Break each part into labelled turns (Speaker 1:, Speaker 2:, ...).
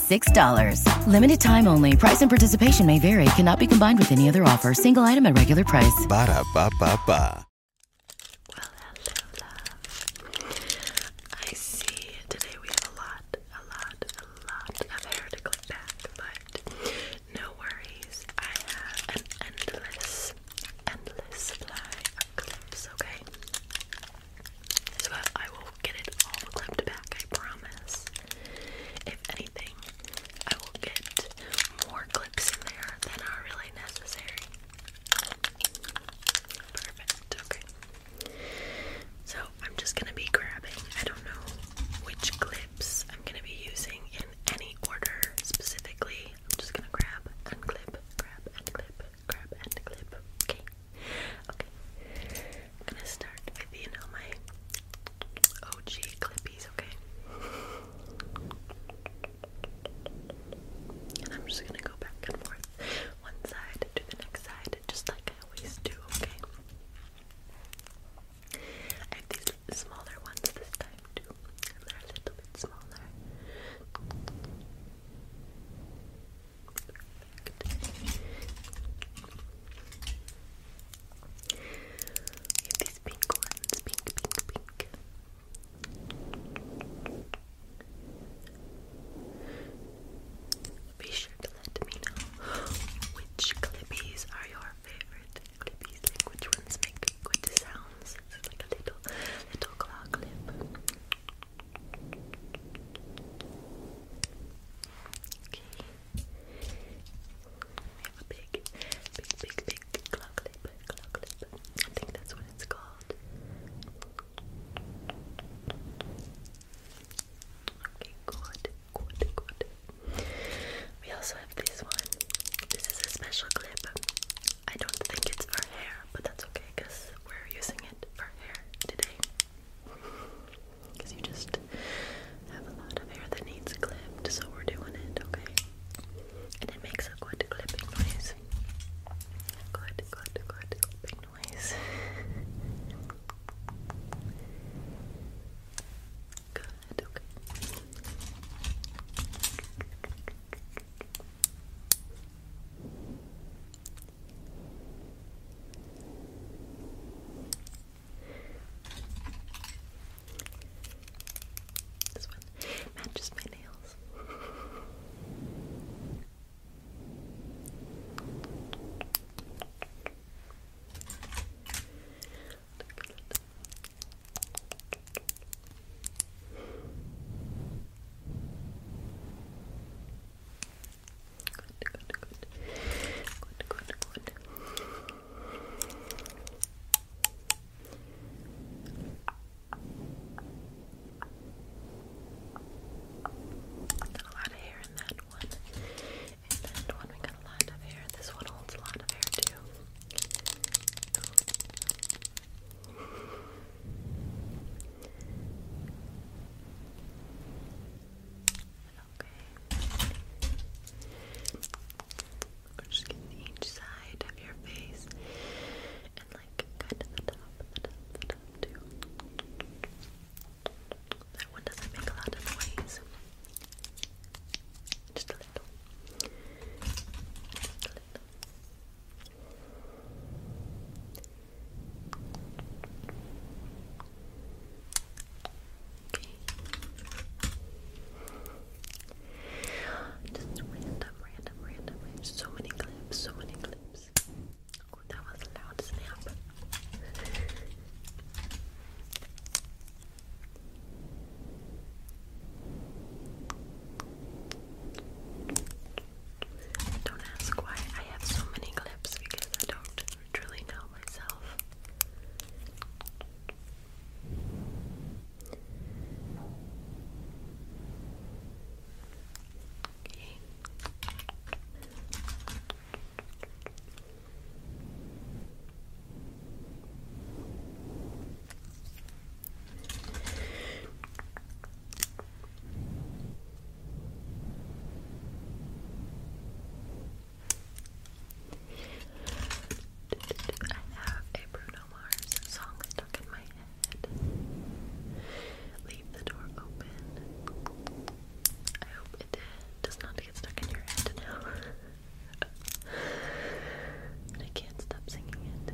Speaker 1: $6. Limited time only. Price and participation may vary. Cannot be combined with any other offer. Single item at regular price.
Speaker 2: Ba da ba ba ba. Well, hello, I see today we have a lot, a lot, a lot of hair to clip back, but no worries. I have an endless, endless supply of clips, okay?
Speaker 1: So I will get it all clipped back, I promise. If anything, I will get more clips in there than are really necessary. Perfect, okay. So I'm just gonna be grabbing, I don't know which clips I'm gonna be using in any order specifically. I'm just gonna grab and clip, grab and clip grab and clip. Okay. Okay. I'm gonna start with you know my OG clippies, okay? And I'm just gonna go back and forth one side to the next side, just like I always do, okay? I have these smaller ones this time too. They're a little bit smaller. Okay. Perfect. pink ones. Pink, pink, pink. Be sure to let me know which clippies are your favorite clippies, which ones make good sounds. It's like a little, little claw clip. Okay. We have a big, big, big, big claw clip, claw clip. I think that's what it's called. Okay, good, good, good. We also have this one. This is a special clip. I don't think it's for hair, but that's okay because we're using it for hair today. Because you just have a lot of hair that needs clipped, so we're doing it, okay? And it makes a good clipping noise. Good, good, good clipping noise. Good, okay. This one matches my nails. Good, good, good. Good, good, good. Got a lot of hair in that one. And that one we got a lot of hair. This one holds a lot of hair too. Okay. we just getting each side of your face and like kind of the top, the top, the top too. That one doesn't make a lot of noise. Just a little. Just a little. Just random, random, random. So many clips, so many clips. Oh, that was a loud snap. Don't ask why I have so many clips because I don't truly know myself. Okay. I have Bruno Mars song stuck in my head. Leave the door open. I hope it does not get stuck in your head now. but I can't stop singing it.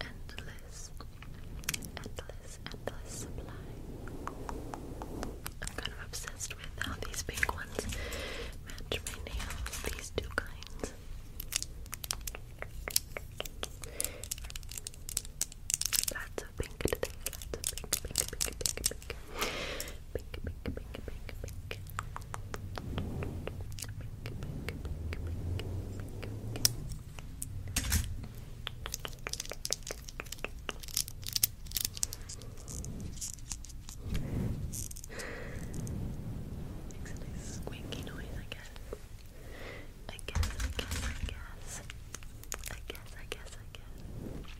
Speaker 1: endless, endless, endless supply. I'm kind of obsessed with how these pink ones match my nails, these two kinds. Lots of pink lots of pink, pink, pink, pink, pink, pink. Pink, pink, pink, pink, pink, pink, pink. Makes a nice squeaky noise, I guess. I guess, I guess, I guess. I guess, I guess, I guess.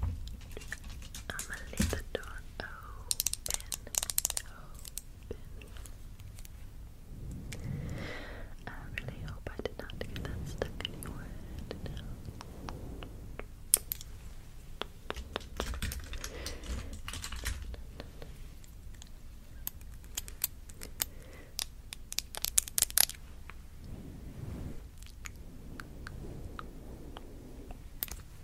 Speaker 1: I'ma leave the door open, I really hope I did not get that stuck anywhere.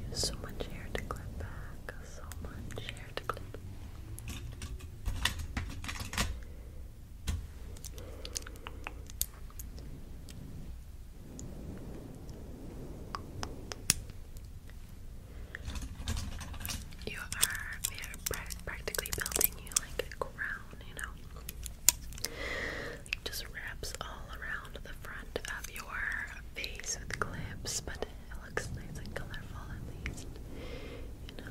Speaker 1: There's so much hair to clip back, so much hair to clip. You are we are practically building you like a crown, you know. just wraps all around the front of your face with clips, but it looks nice and colorful at
Speaker 3: least. You know.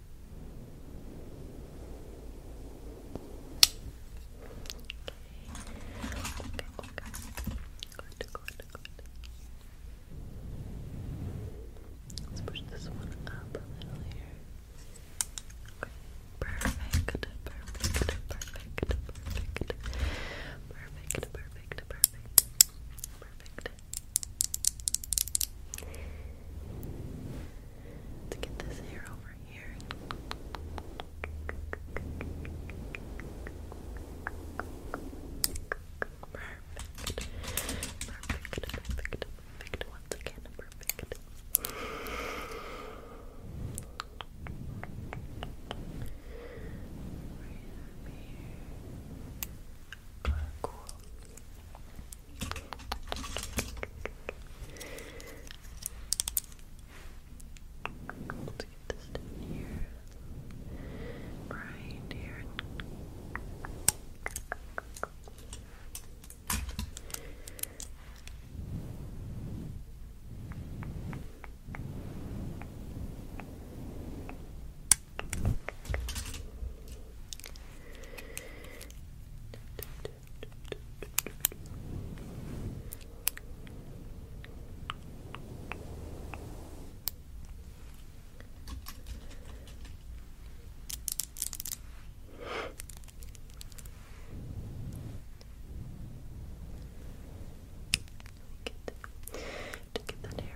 Speaker 3: Okay, okay. Good, good, good. Let's push this one up a little here. Okay. Perfect, perfect, perfect, perfect, perfect, perfect, perfect, perfect, perfect, Let's get this hair over here. Perfect. Perfect. Perfect. Perfect. Once again, perfect. Cool. Let's get this down here. Right here. Okay. Get, to get that hair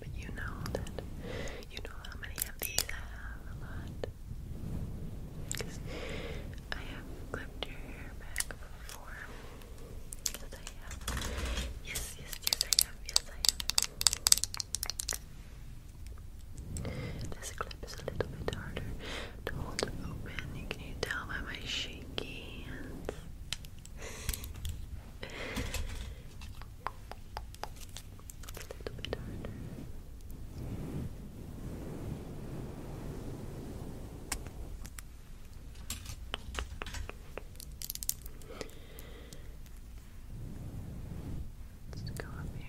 Speaker 2: But you know that, you know how many of these I have, a lot. Because I have clipped your hair back before. Yes, I have. Yes, yes, yes, I have. Yes, I have. This clip is a little bit harder Hold open. Can you tell by my shaky hands? Let's go up here.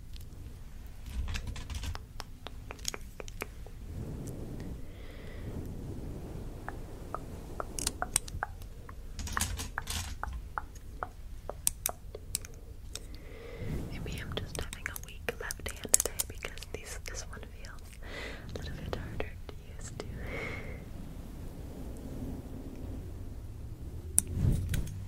Speaker 2: Maybe I'm just having a weak left hand today because these, this one feels a little bit harder to use too.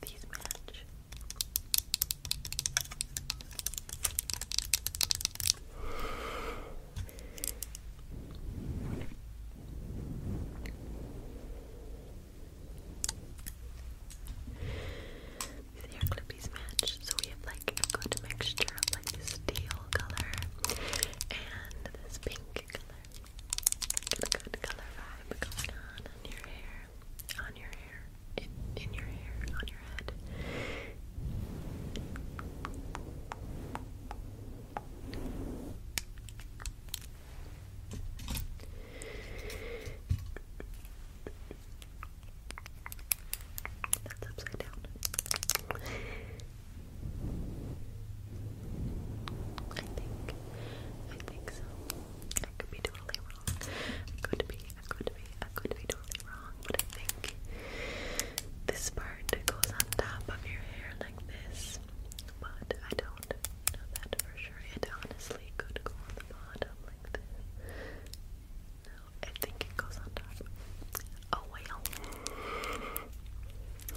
Speaker 1: These match. The hair clippies match, so we have like a good mixture of like steel color and to this pink color. Good color vibe going on on your hair, on your hair, in, in your hair, on your head. That's upside down. I think, I think so. I could be totally wrong. I could be, I could be, I could be totally wrong, but I think this part goes on top of your hair like this, but I don't know that for sure. It honestly could go on the bottom like this. No, I think it goes on top. Oh well.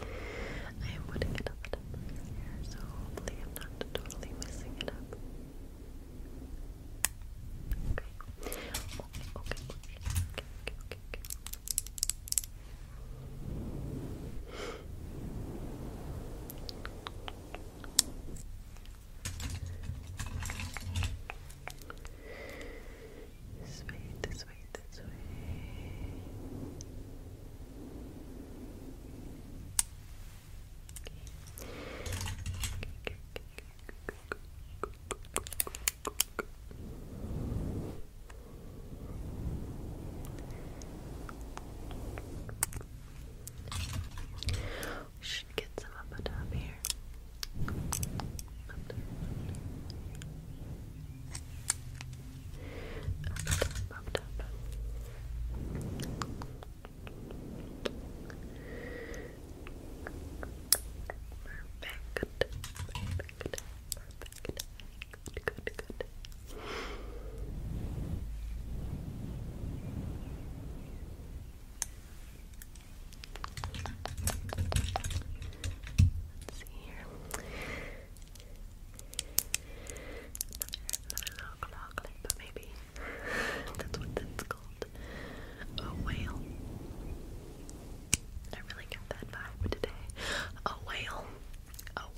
Speaker 1: I am putting it a here, so hopefully I'm not totally messing it up. Okay. Okay, okay, okay, okay, okay, okay. Okay, this way, this way, this way. Okay. We should get some up on top here up, up, Perfect. Perfect. Perfect. good, good. Good. Let's see here. Another knock knock but maybe that's what that's called. A whale. I really get that vibe today. A whale. A whale.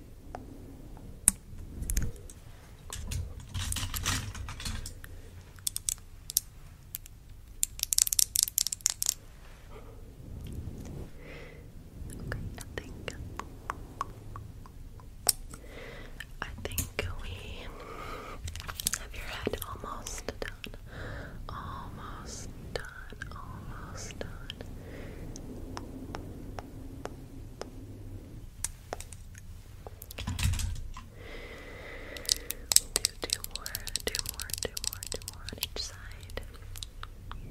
Speaker 1: Okay, I I think we have your head almost done. Almost done, almost done. do two more, two more, two more, two more on each side.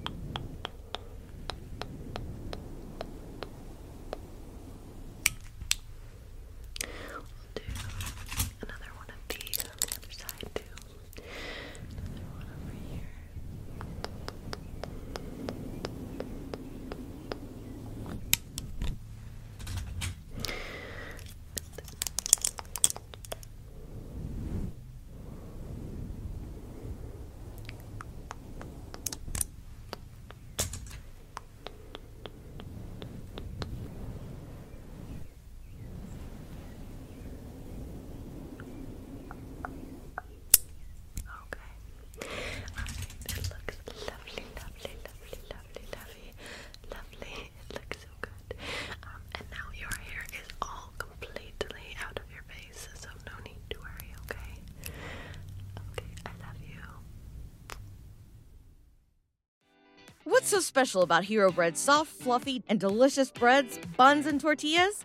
Speaker 1: do another one of these on the other side too. Another one over here. Good. Okay. Alright, it looks lovely, lovely, lovely, lovely, lovely, lovely. It looks so good. and now your hair is all completely out of your face, so no need to worry, okay?
Speaker 3: Okay, I love you. What's
Speaker 4: so special about Hero Bread's soft, fluffy, and delicious breads, buns, and tortillas?